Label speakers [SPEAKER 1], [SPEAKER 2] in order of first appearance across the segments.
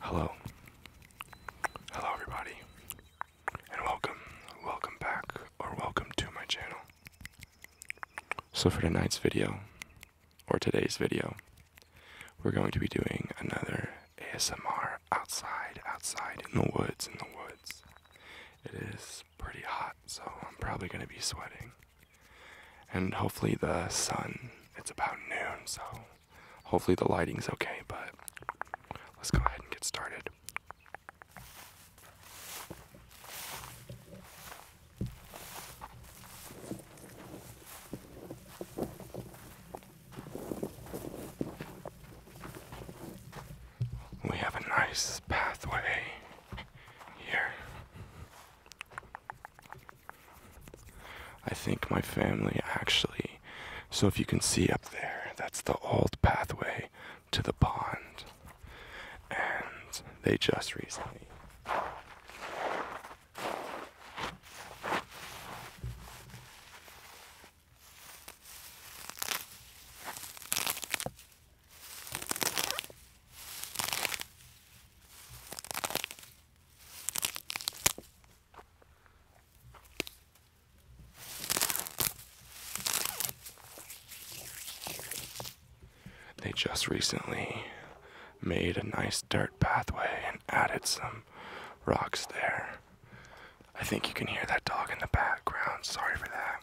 [SPEAKER 1] Hello. Hello everybody. And welcome, welcome back or welcome to my channel. So for tonight's video, or today's video, we're going to be doing another ASMR outside, outside in the woods, in the woods. It is pretty hot, so I'm probably going to be sweating. And hopefully the sun, it's about noon, so hopefully the lighting's okay, but let's go ahead and get started. We have a nice pathway here. I think my family actually, so if you can see up there, that's the old pathway to the pond and they just recently they just recently made a nice dirt pathway and added some rocks there. I think you can hear that dog in the background. Sorry for that.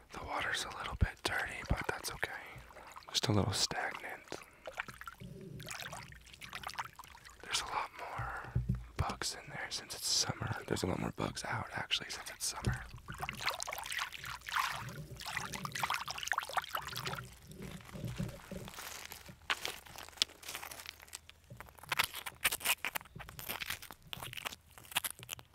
[SPEAKER 1] The water's a little bit dirty, but that's okay. Just a little stagnant. There's a lot more bugs in there since it's summer. There's a lot more bugs out actually since it's summer.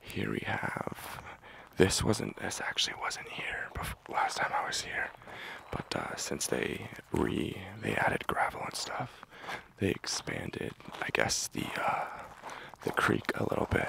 [SPEAKER 1] Here we have. This wasn't. This actually wasn't here last time I was here, but uh, since they re they added gravel and stuff, they expanded. I guess the uh, the creek a little bit.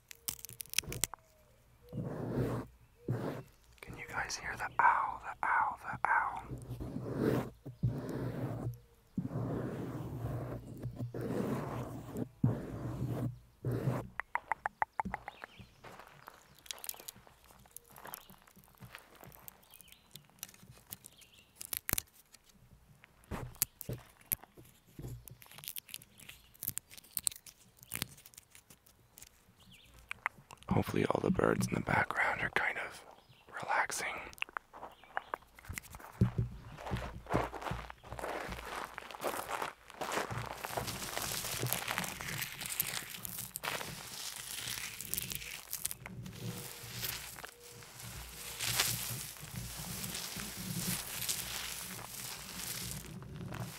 [SPEAKER 1] Can you guys hear the owl, the owl, the owl? Hopefully, all the birds in the background are kind of relaxing.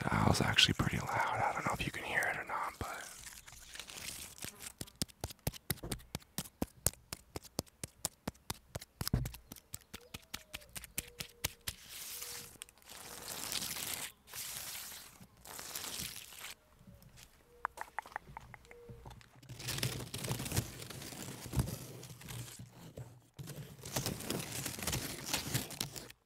[SPEAKER 1] The owl's actually pretty loud. I don't know if you can hear it or not, but.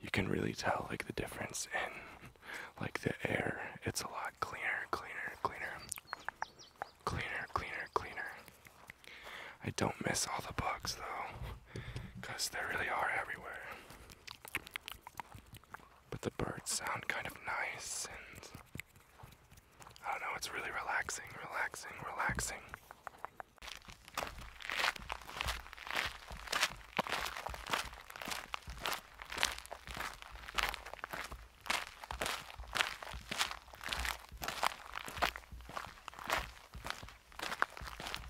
[SPEAKER 1] You can really tell like the difference in like the air. It's a lot cleaner, cleaner, cleaner. Cleaner, cleaner, cleaner. I don't miss all the bugs though, because they really are everywhere. But the birds sound kind of nice and I don't know, it's really relaxing, relaxing, relaxing.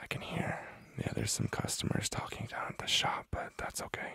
[SPEAKER 1] I can hear. Yeah, there's some customers talking down at the shop, but that's okay.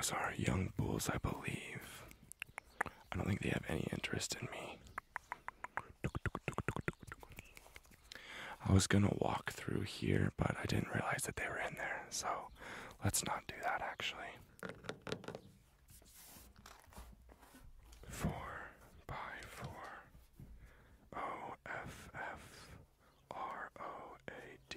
[SPEAKER 1] Those are young bulls, I believe. I don't think they have any interest in me. I was gonna walk through here, but I didn't realize that they were in there, so let's not do that actually. Four by four O F F R O A D.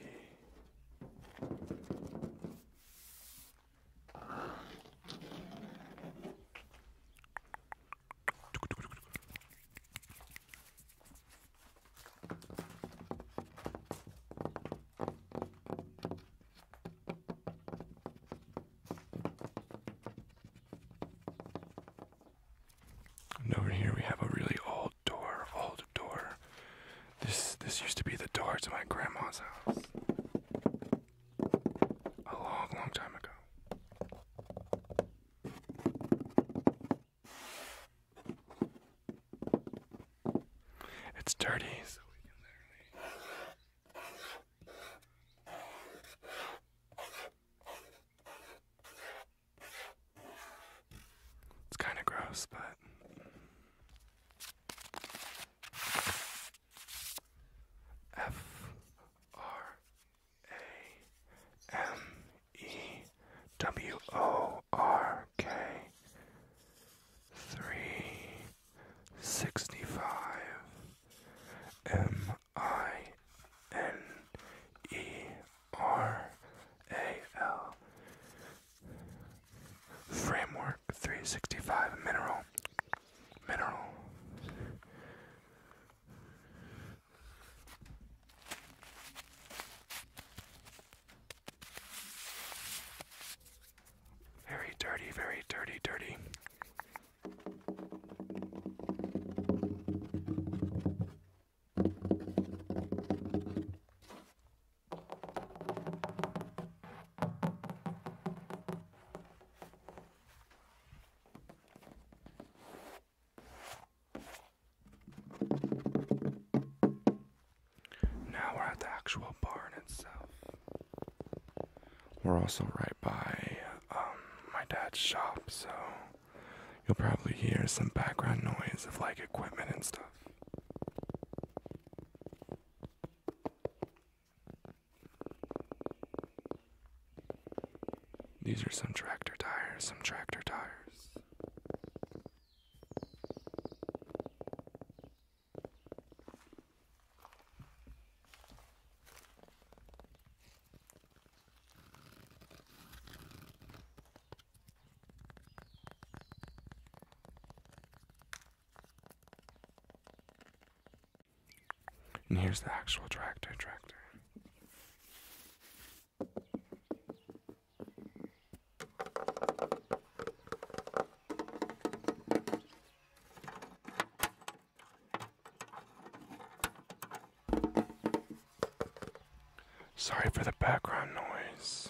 [SPEAKER 1] And over here we have a really old door, old door. This this used to be the door to my grandma's house. A long, long time ago. It's dirty, it's kind of gross, but. F R A M E W O R K three sixty five M I N E R A L Framework 365 Mineral Mineral Very dirty, very dirty, dirty. Now we're at the actual barn itself. We're also right by um, my dad's shop, so You'll probably hear some background noise of like equipment and stuff. These are some tractor tires, some tractor tires. And here's the actual tractor tractor. Sorry for the background noise.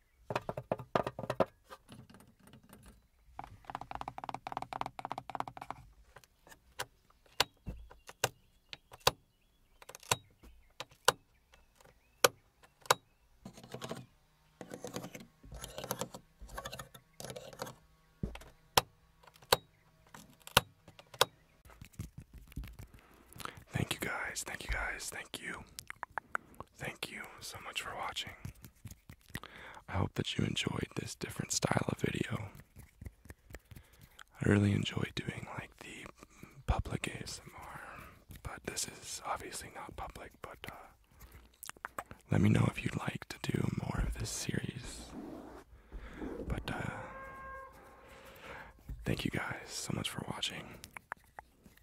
[SPEAKER 1] Thank you guys, thank you guys, thank you. Thank you so much for watching. I hope that you enjoyed this different style of video. I really enjoy doing like the public ASMR, but this is obviously not public, but uh, let me know if you'd like to do more of this series. But uh, thank you guys so much for watching.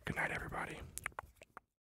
[SPEAKER 1] Good night, everybody.